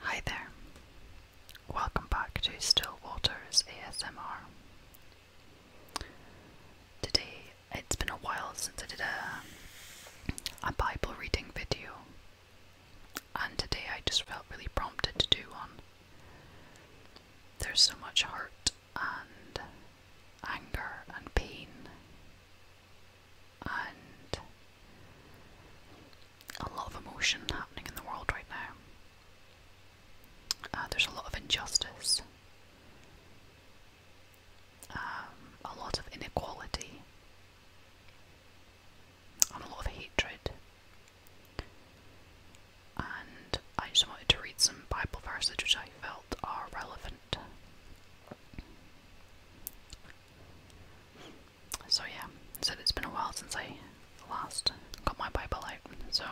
Hi there. Welcome back to Stillwater's ASMR. Today, it's been a while since I did a Bible reading video, and today I just felt really prompted to do one. There's so much hurt and anger and pain and a lot of emotion happening in the world right now. Uh, there's a lot of injustice, um, a lot of inequality, and a lot of hatred. And I just wanted to read some Bible verses which I felt are relevant so yeah, so it's been a while since I last got my Bible out. So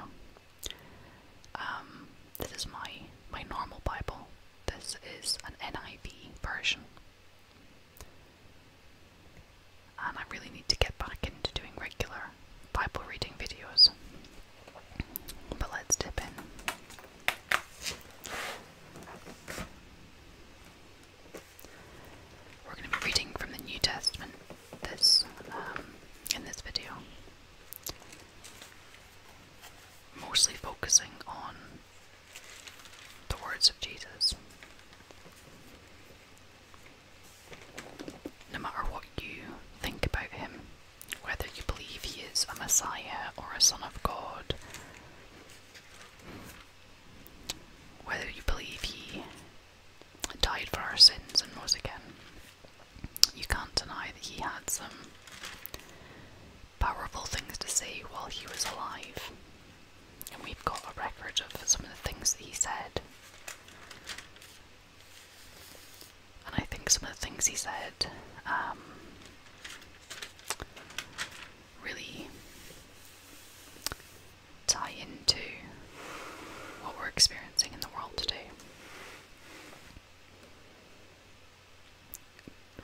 um, this is my my normal Bible. This is an NIV version, and I really need to get back into doing regular Bible reading videos. But let's dip in. We're going to be reading from the New Testament this um, in this video, mostly focusing on the words of Jesus. No matter what you think about him, whether you believe he is a Messiah or a Son of God, whether you believe he died for our sins and rose again, you can't deny that he had some powerful things to say while he was alive. And we've got a record of some of the things that he said. And I think some of the things he said um, really tie into what we're experiencing in the world today.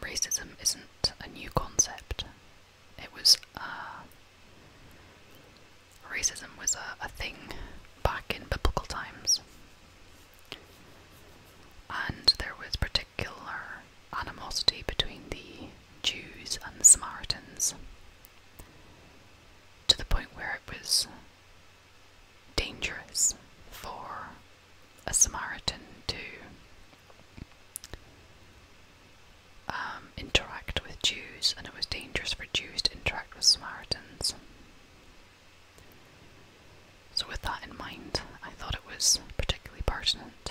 Racism isn't a new concept. It was uh, racism was a thing back in biblical times, and there was particular particular animosity between the Jews and the Samaritans to the point where it was dangerous for a Samaritan to um, interact with Jews, and it was dangerous for Jews to interact with Samaritans. So, with that in mind, I thought it was particularly pertinent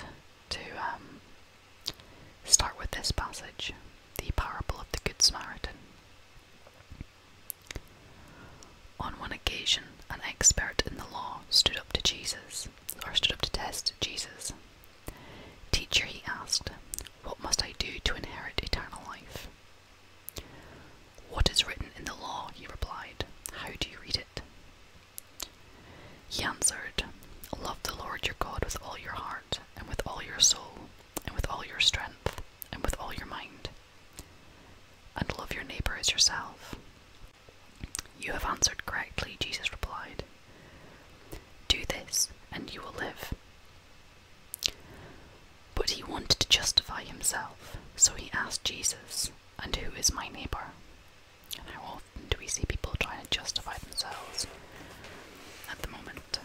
to um, Start with this passage, the parable of the Good Samaritan. On one occasion, an expert in the law stood up to Jesus, or stood up to test Jesus. Teacher, he asked, what must I do to inherit eternal life? What is written in the law, he replied. How do you read it? He answered, Love the Lord your God with all your heart, and with all your soul, and with all your strength, and with all your mind, and love your neighbor as yourself. You have answered correctly, Jesus replied. Do this, and you will live. But he wanted to justify himself, so he asked Jesus, And who is my neighbor? do we see people trying to justify themselves at the moment?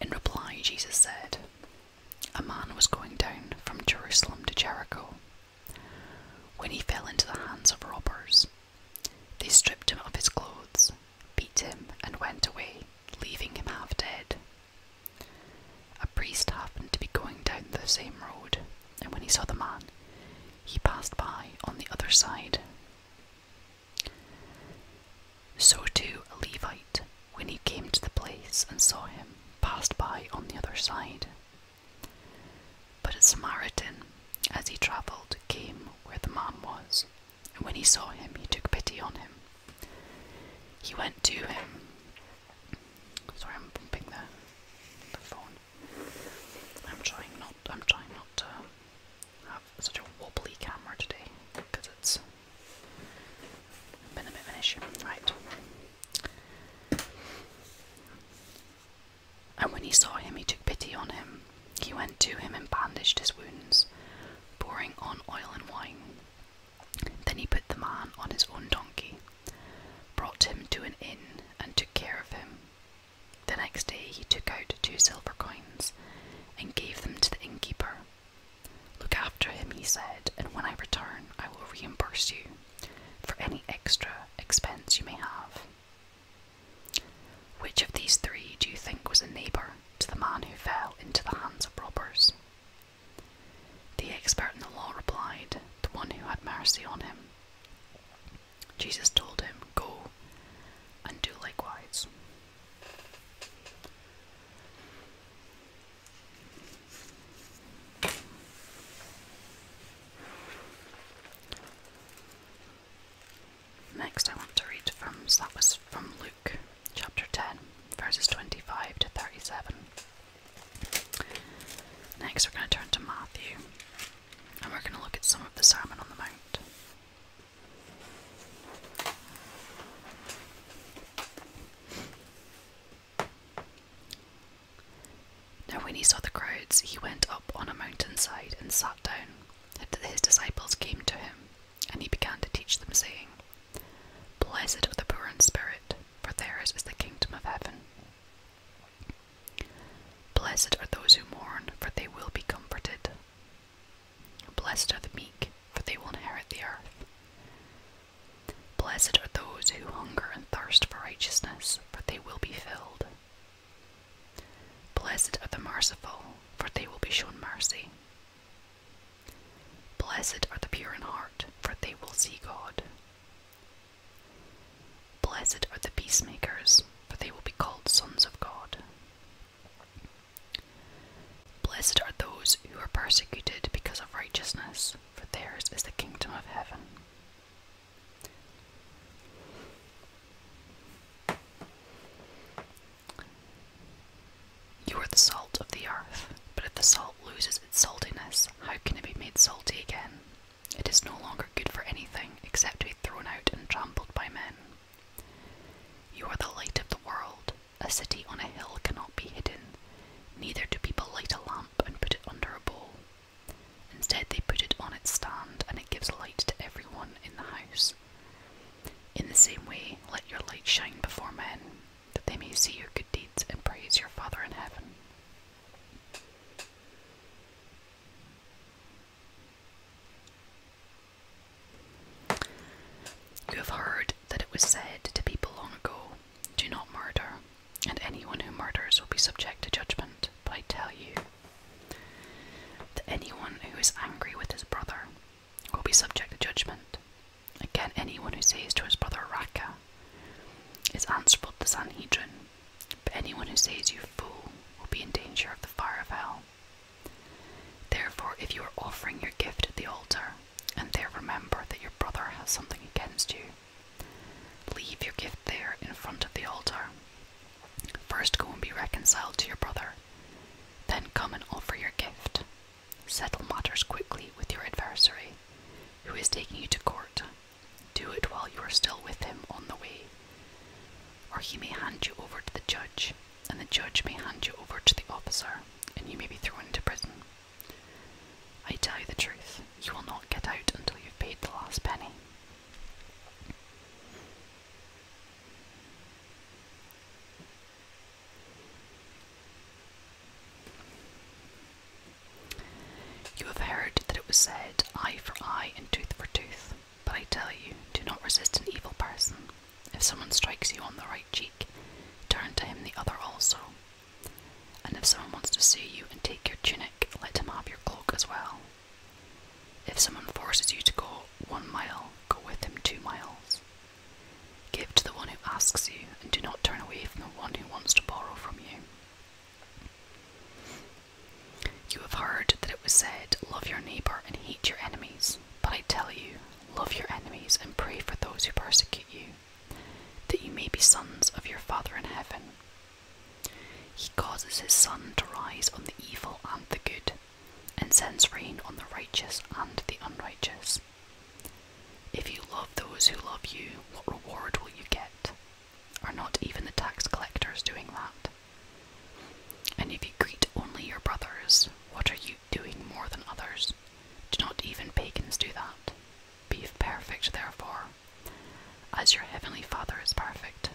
In reply, Jesus said, A man was going down from Jerusalem to Jericho when he fell into the hands of robbers. They stripped him of his clothes, beat him, and went away, leaving him half dead. A priest happened to be going down the same road and when he saw the man, he passed by on the other side. So too a Levite, when he came to the place and saw him, passed by on the other side. But a Samaritan, as he travelled, came where the man was, and when he saw him, he took pity on him. He went to him. Sorry, I'm bumping the, the phone. I'm trying not I'm trying not to have such a wobbly camera today because it's been a bit of an issue. Right. And when he saw him he took pity on him. He went to him and bandaged his wounds, pouring on oil and wine. Then he put the man on his own donkey brought him to an inn, and took care of him. The next day he took out two silver coins and gave them to the innkeeper. Look after him, he said, and when I return, I will reimburse you for any extra expense you may have. Which of these three do you think was a neighbour to the man who fell into the hands of robbers? The expert in the law replied, The one who had mercy on him. Jesus told him, Go and do likewise. Next, I want to read from that was from Luke chapter 10, verses 25 to 37. Next, we're going to turn to Matthew and we're going to look at some of the Sermon on the Mount. Now, when he saw the crowds, he went up on a mountainside and sat down. His disciples came to him, and he began to teach them, saying, Blessed are the poor in spirit, for theirs is the kingdom of heaven. Blessed are those who mourn, for they will be comforted. Blessed are the meek, for they will inherit the earth. Blessed are those who hunger and thirst for righteousness, for they will be filled. Blessed are the merciful, for they will be shown mercy. Blessed are the pure in heart, for they will see God. Blessed are the peacemakers, for they will be called sons of God. Blessed are those who are persecuted because of righteousness, for theirs is the kingdom of heaven. You are the salt of the earth, but if the salt loses its saltiness, how can it be made salty again? It is no longer good for anything except to be thrown out and trampled by men. You are the light of the world. A city on a hill cannot be hidden. Neither do people light a lamp and put it under a bowl. Instead, they put it on its stand and it gives light to everyone in the house. In the same way, let your light shine before men, that they may see your good deeds and praise your Father in heaven. You have heard that it was said to people long ago, Do not murder, and anyone who murders will be subject to judgment. But I tell you that anyone who is angry with his brother will be subject to judgment. Again, anyone who says to his brother, Raka, is answerable to the Sanhedrin. But anyone who says you fool will be in danger of the fire of hell. Therefore, if you are offering your gift at the altar, and there remember that your brother has something against you, leave your gift there in front of the altar. First go and be reconciled to your brother, then come and offer your gift. Settle matters quickly with your adversary, who is taking you to court, do it while you are still with him on the way, or he may hand you over to the judge, and the judge may hand you over to the officer, and you may be thrown into prison. I tell you the truth, you will not get out until you've paid the last penny. You have heard that it was said, eye for eye and tooth for tooth. But I tell you, do not resist an evil person. If someone strikes you on the right cheek, turn to him the other also. And if someone wants to sue you and take your tunic, let him have your cloak as well. If someone forces you to go one mile, go with him two miles. Give to the one who asks you, and do not turn away from the one who wants to borrow from you. You have heard that it was said, Love your neighbour and hate your enemies. But I tell you, love your enemies and pray for those who persecute you, that you may be sons of your Father in heaven. He causes his sun to rise on the evil and the good, and sends rain on the righteous and the unrighteous. If you love those who love you, what reward will you get? Are not even the tax collectors doing that? And if you greet only your brothers, what are you doing more than others? Do not even pagans do that? Be perfect, therefore, as your heavenly Father is perfect.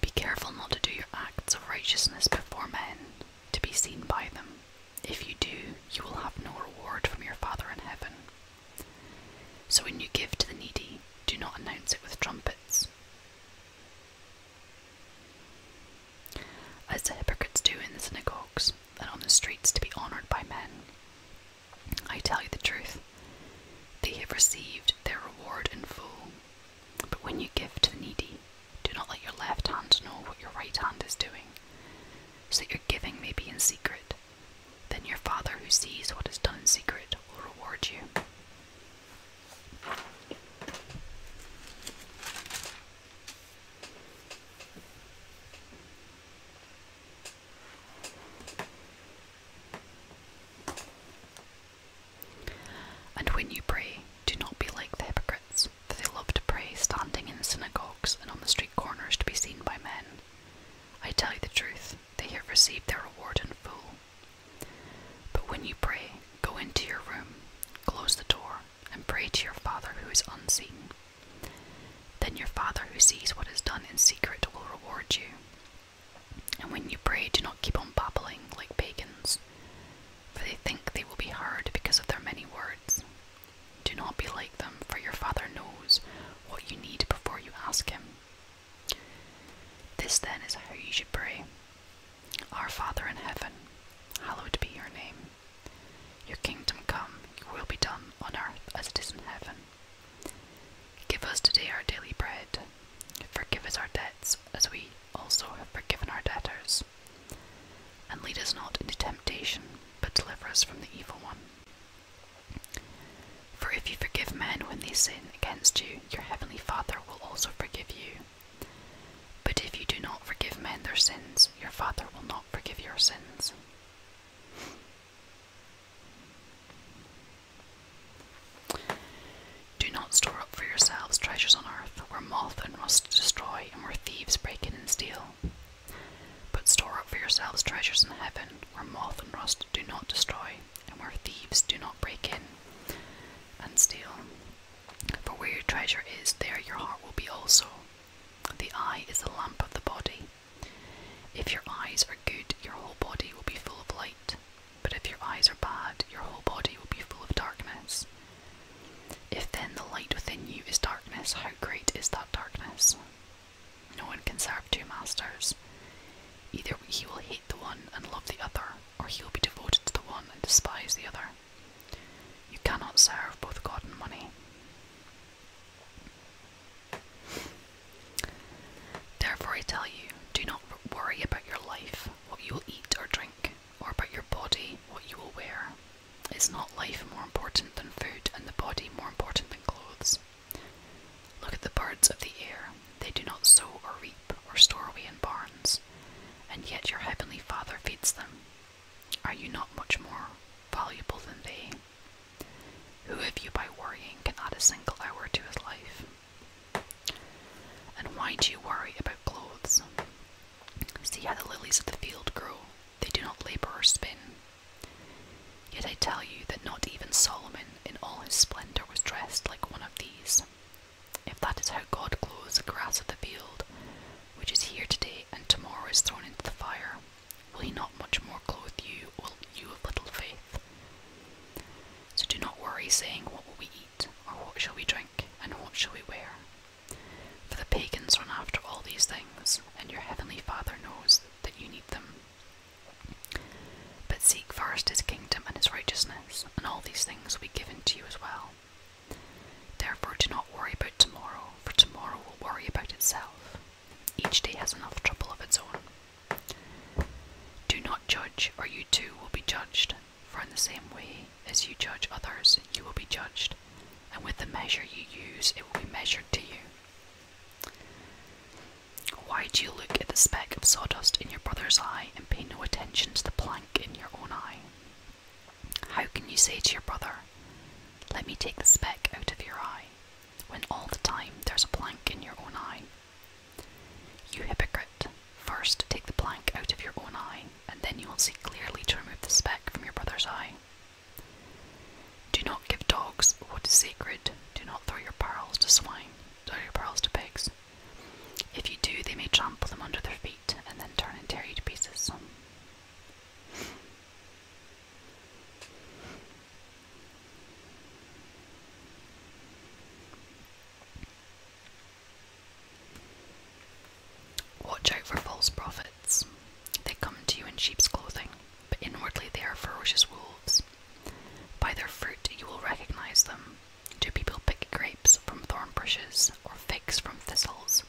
Be careful not to do your acts of righteousness before men, to be seen by them. If you do, you will have no reward from your Father in heaven. So when you give to the needy, do not announce it with trumpets. As the hypocrites do in the synagogues and on the streets to be honoured by men. I tell you the truth, they have received their reward in full. But when you give to the needy, do not let your left hand know what your right hand is doing, so that your giving may be in secret, then your Father who sees what is done secret will reward you. And when you pray, do not be like the hypocrites, for they love to pray standing in synagogues and on the street corners to be seen by men. I tell you the truth, they have received their reward in full. But when you pray, go into your room, close the door, and pray to your Father who is unseen. Then your Father who sees what is done in secret will reward you. And when you pray, do not keep on babbling like pagans, for they think they will be heard because of their many words. Do not be like them, for your Father knows what you need before you ask Him. This then is how you should pray Our Father in heaven, hallowed be your name. Your kingdom come, your will be done on earth as it is in heaven. Give us today our daily bread. Forgive us our debts as we also have forgiven our debtors. And lead us not into temptation, but deliver us from the evil one. For if you forgive men when they sin against you, your heavenly Father will also forgive you. But if you do not forgive men their sins, your Father will not forgive your sins. Do not store up for yourselves treasures on earth, where moth and rust destroy, and where thieves break in and steal. But store up for yourselves treasures in heaven, where moth and rust do not destroy, and where thieves do not break in and steal. For where your treasure is, there your heart will be also. The eye is the lamp of the body. If your eyes are good, your whole body will be full of light. But if your eyes are bad, your whole body will be full of darkness. If then the light within you is darkness, how great is that darkness? No one can serve two masters. Either he will hate the one and love the other, or he will be devoted to the one and despise the other. You cannot serve both God and money. Therefore, I tell you, do not worry about your life, what you will eat or drink, or about your body, what you will wear. Is not life more important than food, and the body more important than clothes? Look at the birds of the air. They do not sow or reap or store away in barns, and yet your heavenly Father feeds them. Are you not much more valuable than they? Who of you by worrying can add a single hour to his life? And why do you worry about clothes? See how the lilies of the field grow. They do not labor or spin. Yet I tell you that not even Solomon in all his splendour was dressed like one of these. If that is how God clothes the grass of the field, which is here today and tomorrow is thrown into the fire, will he not much more clothe you, O you of little faith? So do not worry, saying, What will we eat, or what shall we drink, and what shall we wear? For the pagans run after all these things, and your heavenly Father knows that you need them. But seek first his kingdom and his righteousness, and all these things will be given to you as well. Therefore, do not worry about tomorrow, for tomorrow will worry about itself. Each day has enough trouble of its own. Do not judge, or you too will be judged, for in the same way as you judge others, you will be judged, and with the measure you use, it will be measured to you. Why do you look at the speck of sawdust in your brother's eye and pay no attention to the plank in your own eye? How can you say to your brother, Let me take the speck out of your eye, when all the time there's a plank in your own eye? You hypocrite, first take the plank out of your own eye, and then you will see clearly to remove the speck from your brother's eye. Do not give dogs what is sacred. Do not throw your pearls to swine. Throw your pearls to pigs. If you do, they may trample them under their feet and then turn and tear you to pieces. Watch out for false prophets. They come to you in sheep's clothing, but inwardly they are ferocious wolves. By their fruit you will recognize them. Do people pick grapes from thorn bushes or figs from thistles?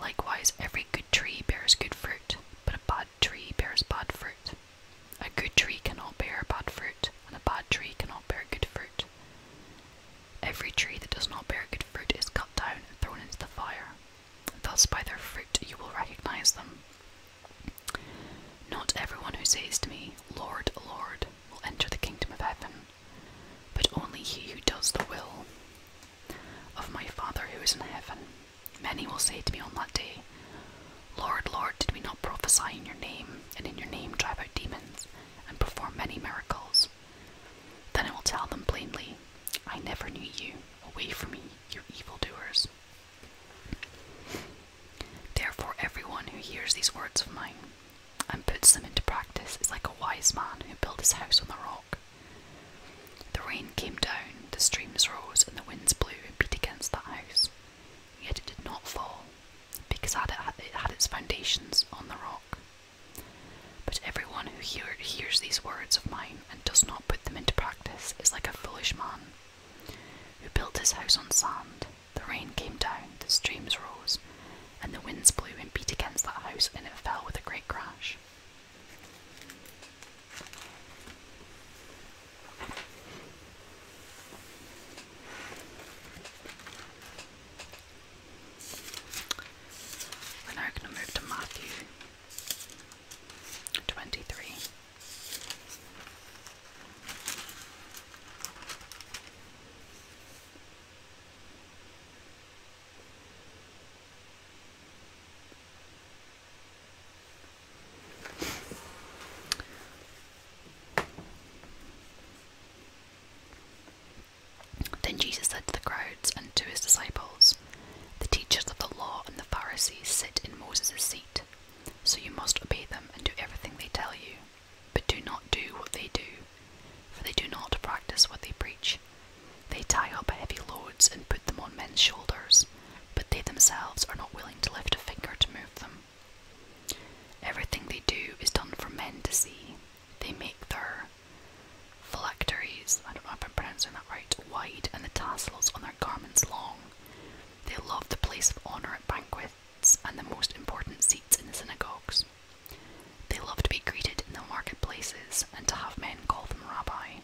Likewise, every good tree bears good fruit, but a bad tree bears bad fruit. A good tree cannot bear bad fruit, and a bad tree cannot bear good fruit. Every tree that does not bear good fruit is cut down and thrown into the fire. Thus, by their fruit you will recognize them. Not everyone who says to me, Lord, Lord, will enter the kingdom of heaven, but only he who does the will of my Father who is in heaven. Many will say to me on that day, Lord, Lord, did we not prophesy in your name, and in your name drive out demons, and perform many miracles? Then I will tell them plainly, I never knew you. Away from me, you evil doers. Therefore, everyone who hears these words of mine and puts them into practice is like a wise man who built his house on the rock. The rain came down, the streams rose, and the winds blew and beat against that house. Yet it did not fall, because it had its foundations on the rock. But everyone who hears these words of mine and does not put them into practice is like a foolish man who built his house on sand. The rain came down, the streams rose, and the winds blew and beat against that house, and it fell with a great crash. We're now going to move to Matthew 23. Then Jesus said to the crowds and to his disciples, The teachers of the law and the Pharisees sit in Moses' seat so you must obey them and do everything they tell you. But do not do what they do, for they do not practice what they preach. They tie up heavy loads and put them on men's shoulders, but they themselves are not willing to lift a finger to move them. Everything they do is done for men to see. They make their phylacteries, I don't know if I'm pronouncing that right, wide and the tassels on their garments long. They love the place of honour at banquets and the most important seats in the synagogues. They love to be greeted in the marketplaces and to have men call them rabbi.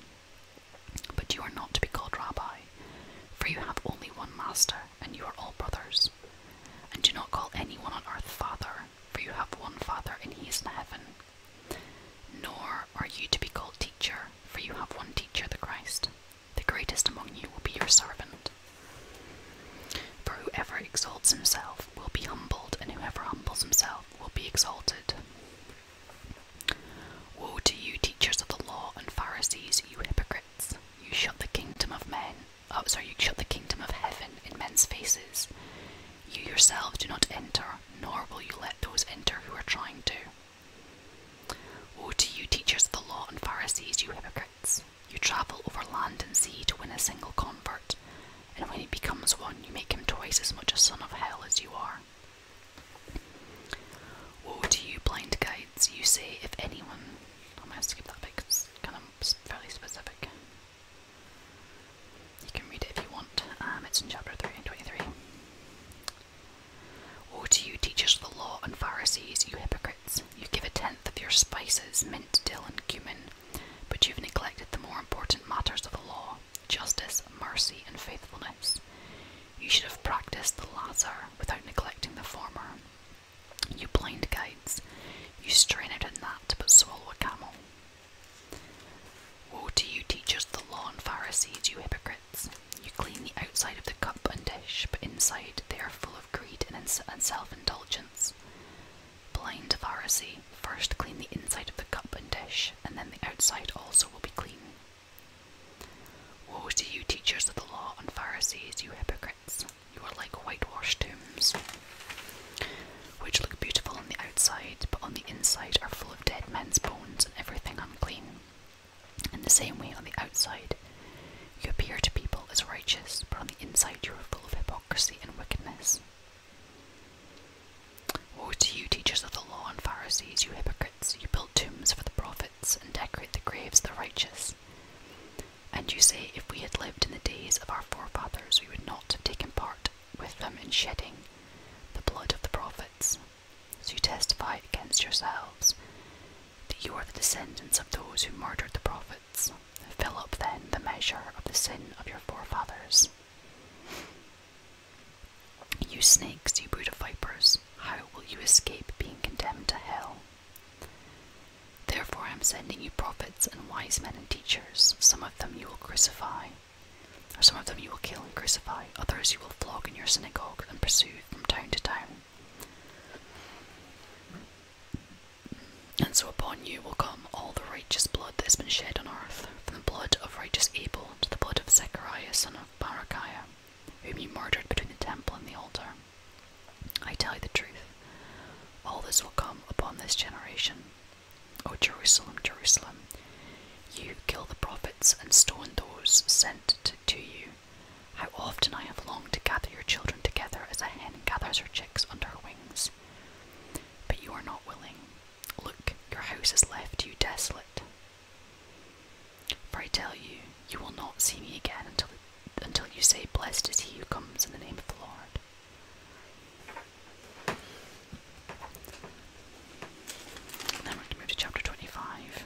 But you are not to be called rabbi, for you have only one master, and you are all brothers. And do not call anyone on earth father, for you have one father, and he is in heaven. Nor are you to be called teacher, for you have one teacher, the Christ. The greatest among you will be your servant. For whoever exalts himself will be humbled, and whoever humbles himself will be exalted. Woe to you, teachers of the law and Pharisees, you hypocrites! You shut the kingdom of men. Oh, sorry, you shut the kingdom of heaven in men's faces. You yourselves do not enter, nor will you let those enter who are trying to. O to you, teachers of the law and Pharisees, you hypocrites! You travel over land and sea to win a single convert, and when he becomes one, you make him twice as much a son of hell as you are. Woe to you, blind guides! You say, if anyone. I'm going to skip that bit kind of fairly specific. You can read it if you want. Um, it's in chapter 3 Woe to you, teachers of the law and Pharisees, you hypocrites! You give a tenth of your spices, mint, dill, and cumin, but you've neglected the more important matters of the law justice, mercy, and faithfulness. You should have practiced the latter without neglecting the former. You blind guides, you strain out a gnat but swallow a camel. Woe to you, teachers of the law and Pharisees, you hypocrites! You clean the outside of the cup and dish, but inside they are full of greed and self indulgence. Blind Pharisee, first clean the inside of the cup and dish, and then the outside also will be clean. Woe to you, teachers of the law and Pharisees, you hypocrites! You are like whitewashed tombs, which look beautiful on the outside, but on the inside are full of dead men's bones and everything unclean. In the same way, on the outside, you appear to people as righteous, but on the inside, you are full of hypocrisy and wickedness. O, you, teachers of the law and Pharisees, you hypocrites! You build tombs for the prophets and decorate the graves of the righteous. And you say, if we had lived in the days of our forefathers, we would not have taken part with them in shedding the blood of the prophets. So you testify against yourselves that you are the descendants of those who murdered the prophets. Fill up then the measure of the sin of your forefathers. You snakes, you brood of vipers, how will you escape being condemned to hell? Therefore, I am sending you prophets and wise men and teachers. Some of them you will crucify, or some of them you will kill and crucify, others you will flog in your synagogue and pursue from town to town. And so upon you will come all the righteous blood that has been shed on earth, from the blood of righteous Abel to the blood of Zechariah son of Barakiah, whom you murdered between the temple and the altar. I tell you the truth, all this will come upon this generation. O Jerusalem, Jerusalem, you kill the prophets and stone those sent to you. How often I have longed to gather your children together as a hen gathers her chicks under her wings. But you are not willing. Look, your house has left you desolate. For I tell you, you will not see me again until, until you say, Blessed is he who comes in the name of the Lord. Then we're going to move to chapter 25.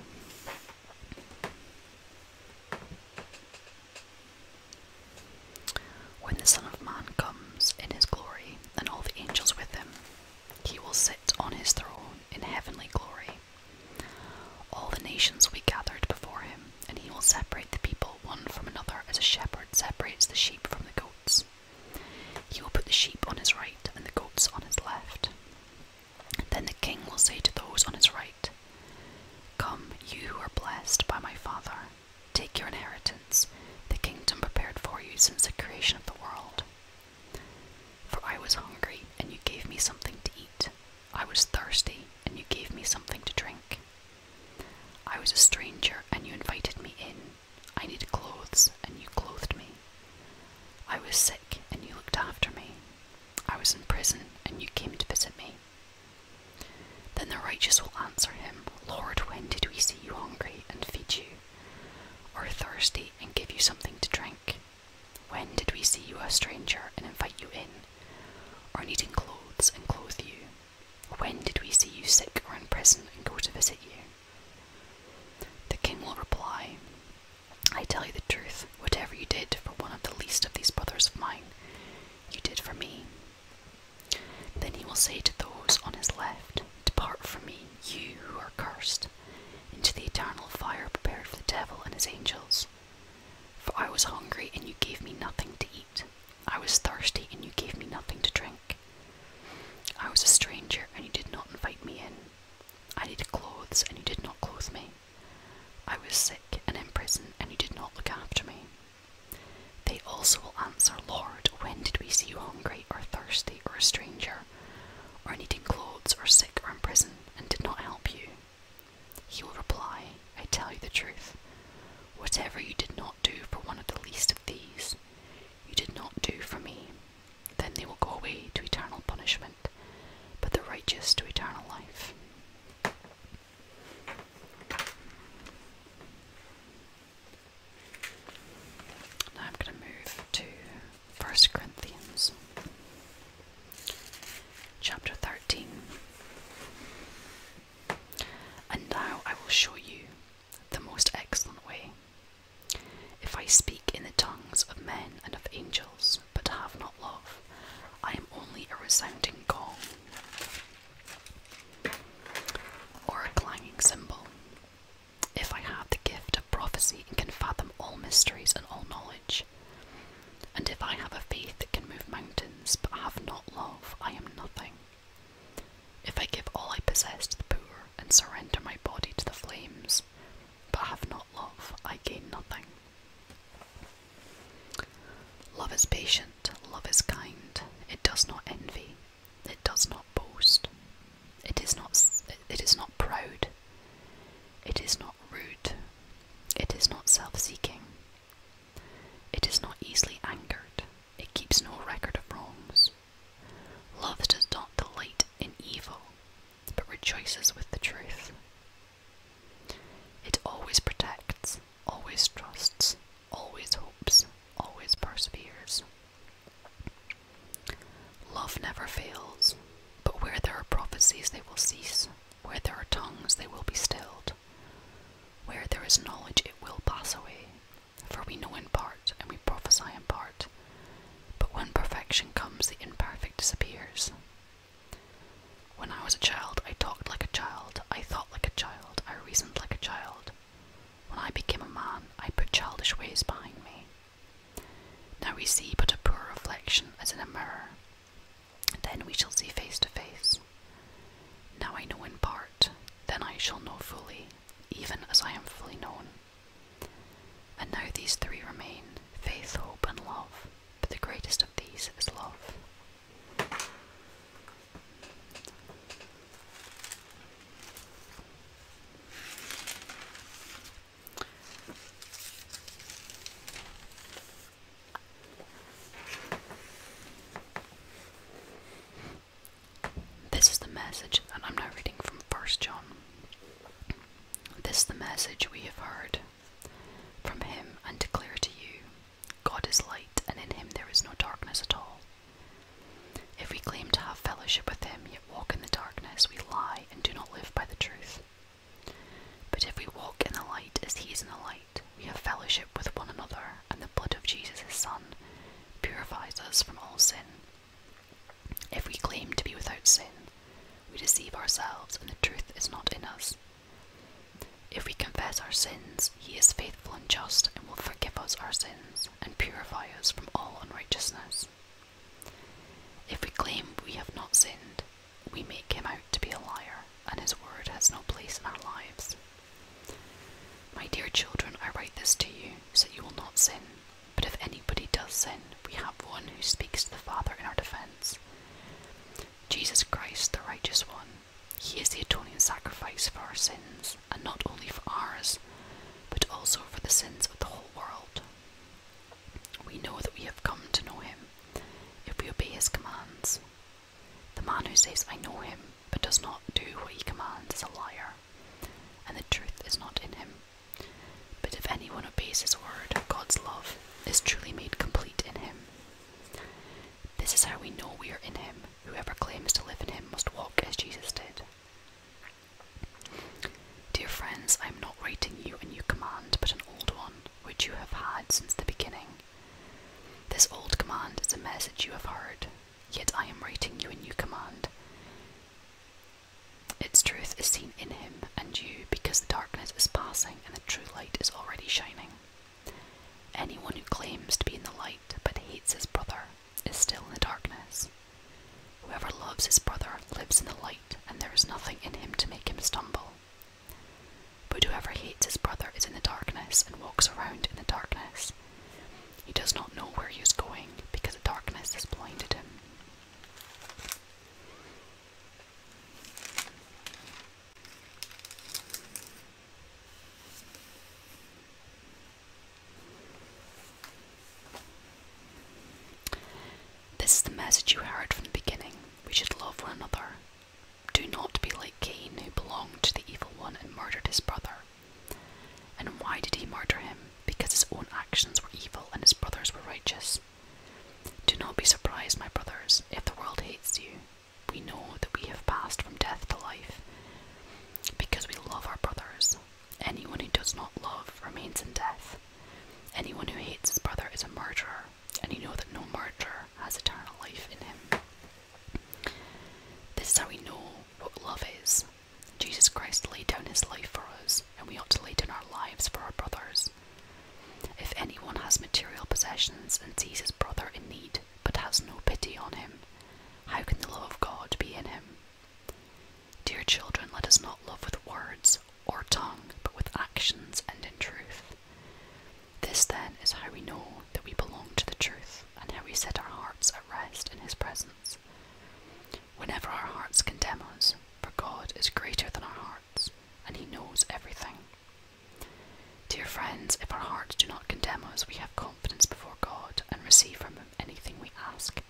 When the Son of Man comes in his glory and all the angels with him, he will sit on his throne in heavenly glory. All the nations will be gathered before him, and he will separate the people one from another as a shepherd separates the sheep from the goats. He will put the sheep on his right and the goats on his left. Then the king will say to those on his right, Come, you who are blessed by my Father, take your inheritance, the kingdom prepared for you since the creation of the world. For I was hungry, and you gave me something to eat. I was thirsty, and you gave me something to drink. I was a stranger, and you invited me in. I needed clothes, and you clothed me. I was sick and you looked after me. I was in prison and you came to visit me. Then the righteous will answer him, Lord, when did we see you hungry and feed you, or thirsty and give you something to drink? When did we see you a stranger and invite you in, or needing clothes and clothe you? When did we see you sick or in prison and go to visit you? The king will reply, I tell you the truth, whatever you did for one of the least of these brothers of mine, you did for me. Then he will say to those on his left, Depart from me, you who are cursed, into the eternal fire prepared for the devil and his angels. For I was hungry, and you gave me nothing to eat. I was thirsty, and you gave me nothing to drink. I was a stranger, and you did not invite me in. I needed clothes, and you did not clothe me. I was sick and in prison, and you did not look after me. They also will answer, Lord, when did we see you hungry, or thirsty, or a stranger, or needing clothes, or sick, or in prison, and did not help you? He will reply, I tell you the truth. Whatever you did not do for one of the least of these, you did not do for me. Then they will go away to eternal punishment, but the righteous to eternal life. Now I'm going to move to 1 Corinthians chapter 13. And now I will show you the most excellent way. If I speak in the tongues of men and of angels, but have not love, I am only a resounding gong or a clanging cymbal. If I have the gift of prophecy and can fathom all mysteries and all knowledge, and if I have a faith that can move mountains, but have not love, I am nothing. If I give all I possess to the poor and surrender my body to the flames, but have not love, I gain nothing. Love is patient, love is kind, it does not envy, it does not boast, it is not, it is not proud, it is not rude, it is not self seeking, it is not easily angered, it keeps no record of wrongs. Love does not delight in evil, but rejoices with the truth. It always protects, always trusts, always hopes, always perseveres. Love never fails, but where there are prophecies, they will cease. Where there are tongues, they will be stilled. Where there is knowledge, it will pass away. For we know in part, and we prophesy in part. But when perfection comes, the imperfect disappears. When I was a child, I talked like a child, I thought like a child, I reasoned like a child. When I became a man, I put childish ways behind me. Now we see but a poor reflection as in a mirror. Then we shall see face to face. Now I know in part, then I shall know fully, even as I am fully known. And now these three remain faith, hope, and love, but the greatest of these is love. This is the message, and I'm now reading from 1 John. This the message we have heard from him and declare to you God is light, and in him there is no darkness at all. If we claim to have fellowship with him, yet walk in the darkness, we lie and do not live by the truth. But if we walk in the light as he is in the light, we have fellowship with one another, and the blood of Jesus his Son purifies us from all sin. If we claim to be without sin, we deceive ourselves and the truth is not in us. If we confess our sins, he is faithful and just and will forgive us our sins and purify us from all unrighteousness. If we claim we have not sinned, we make him out to be a liar, and his word has no place in our lives. My dear children, I write this to you so you will not sin. But if anybody does sin, we have one who speaks to the Father in our defense Jesus Christ, the righteous one. He is the atoning sacrifice for our sins, and not only for ours, but also for the sins of the whole world. We know that we have come to know him if we obey his commands. The man who says, I know him, but does not do what he commands, is a liar, and the truth is not in him. But if anyone obeys his word, God's love is truly made complete in him. This is how we know we are in him. Whoever claims to live in him must walk as Jesus did. Dear friends, I am not writing you a new command, but an old one, which you have had since the beginning. This old command is a message you have heard, yet I am writing you a new command. Its truth is seen in him and you because the darkness is passing and the true light is already shining. Anyone who claims to be in the light but hates his brother is still in the darkness. Whoever loves his brother lives in the light, and there is nothing in him to make him stumble. But whoever hates his brother is in the darkness and walks around in the darkness. He does not know where he is going because the darkness has blinded him. This is the message you heard from the beginning. We should love one another. Do not be like Cain, who belonged to the evil one and murdered his brother. And why did he murder him? Because his own actions were evil and his brothers were righteous. Do not be surprised, my brothers, if the world hates you. We know that we have passed from death to life because we love our brothers. Anyone who does not love remains in death. Anyone who hates his brother is a murderer, and you know that no murderer has eternal life in him. This is how we know what love is. Jesus Christ laid down his life for us, and we ought to lay down our lives for our brothers. If anyone has material possessions and sees his brother in need, but has no pity on him, how can the love of God be in him? Dear children, let us not love with words or tongue, but with actions and in truth. This then is how we know that we belong to the truth, and how we set our hearts at rest in his presence. Whenever our hearts condemn us, for God is greater than our hearts and he knows everything. Dear friends, if our hearts do not condemn us, we have confidence before God and receive from Him anything we ask,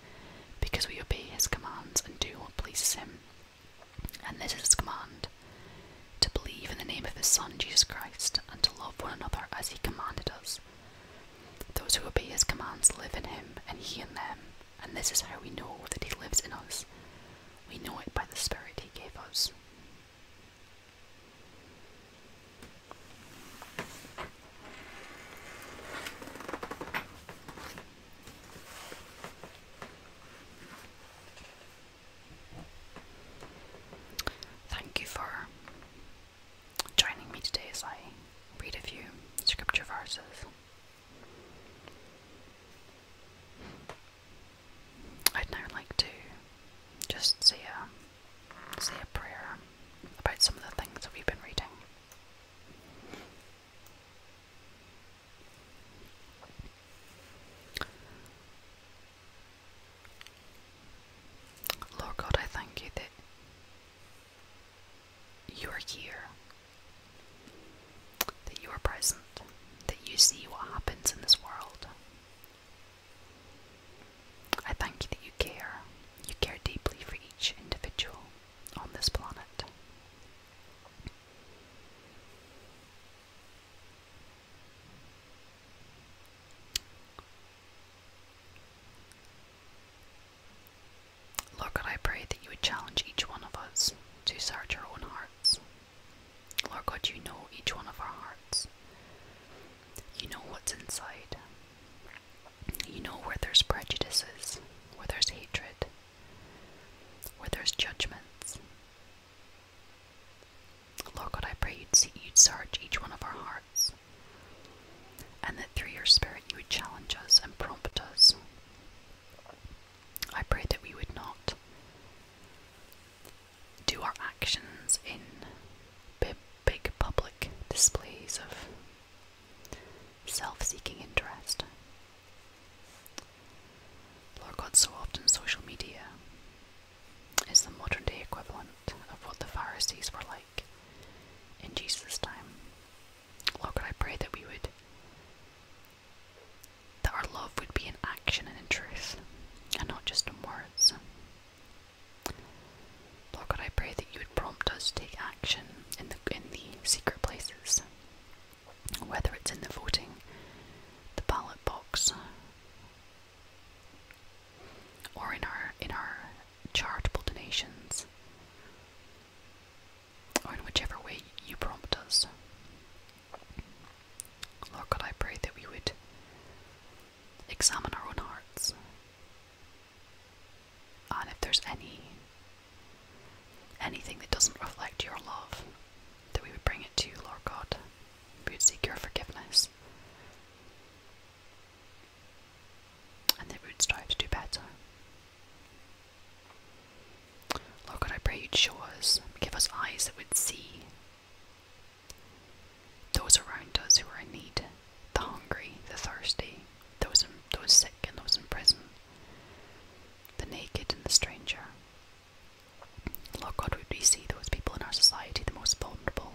because we obey His commands and do what pleases Him. And this is His command to believe in the name of His Son, Jesus Christ, and to love one another as He commanded us. Those who obey His commands live in Him, and He in them, and this is how we know that He lives in us. We know it by the Spirit He gave us. Thank you for joining me today as I read a few scripture verses. I'd now like to just say a, say a prayer about some of the things that we've been reading. Lord God, I thank you that you are here that you are present, that you see what happens in this world. I thank you that you care. You care deeply for each individual on this planet. Lord God, I pray that you would challenge each one of us to search our own hearts. Lord God, you know each one of our hearts. You know what's inside. You know where there's prejudices, where there's hatred, where there's judgments. Lord God, I pray you'd, see, you'd search each one of our hearts and that through your Spirit you would challenge us and prompt us I pray that we would not do our actions in big, public displays of self seeking interest. Lord God, so often social media is the modern day equivalent of what the Pharisees were like in Jesus' time. Lord God, I pray that we would that our love would be in action and in truth, and not just in words. Lord God, I pray that you would prompt us to take action in the in the secret places, whether it's in the voting, the ballot box, or in our in our charitable donations or in whichever way you prompt us. Lord God, I pray that we would examine our own hearts. And if there's any anything that doesn't reflect your love, that we would bring it to you, Lord God. We would seek your forgiveness. And that we would strive to do better. Lord God, I pray you'd show us, give us eyes that would see those around us who are in need, the hungry, the thirsty, those, in, those sick and those in prison, the naked and the stranger. Lord God, would we see those people in our society the most vulnerable?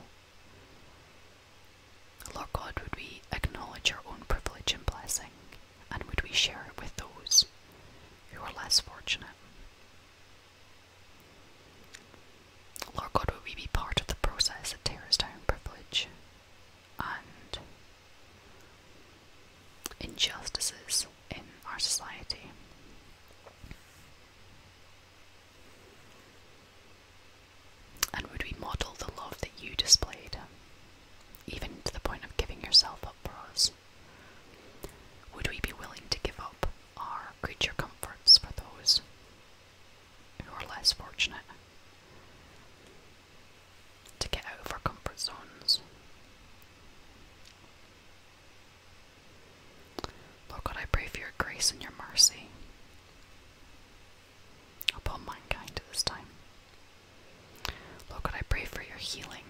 Lord God, would we acknowledge our own privilege and blessing and would we share it with those who are less fortunate? Lord God, would we be part of the process that tears down privilege and injustices in our society? And would we model the love that you displayed, even to the point of giving yourself up for us? Would we be willing to give up our creature comforts for those who are less fortunate? To get out of our comfort zones? Lord God, I pray for your grace and your mercy upon mankind at this time. Lord, I pray for your healing.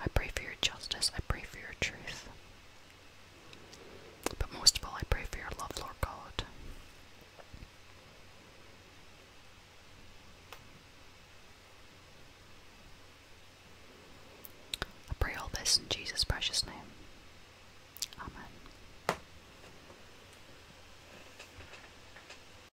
I pray for your justice. I pray for your truth. But most of all, I pray for your love, Lord God. I pray all this in Jesus' precious name. Amen.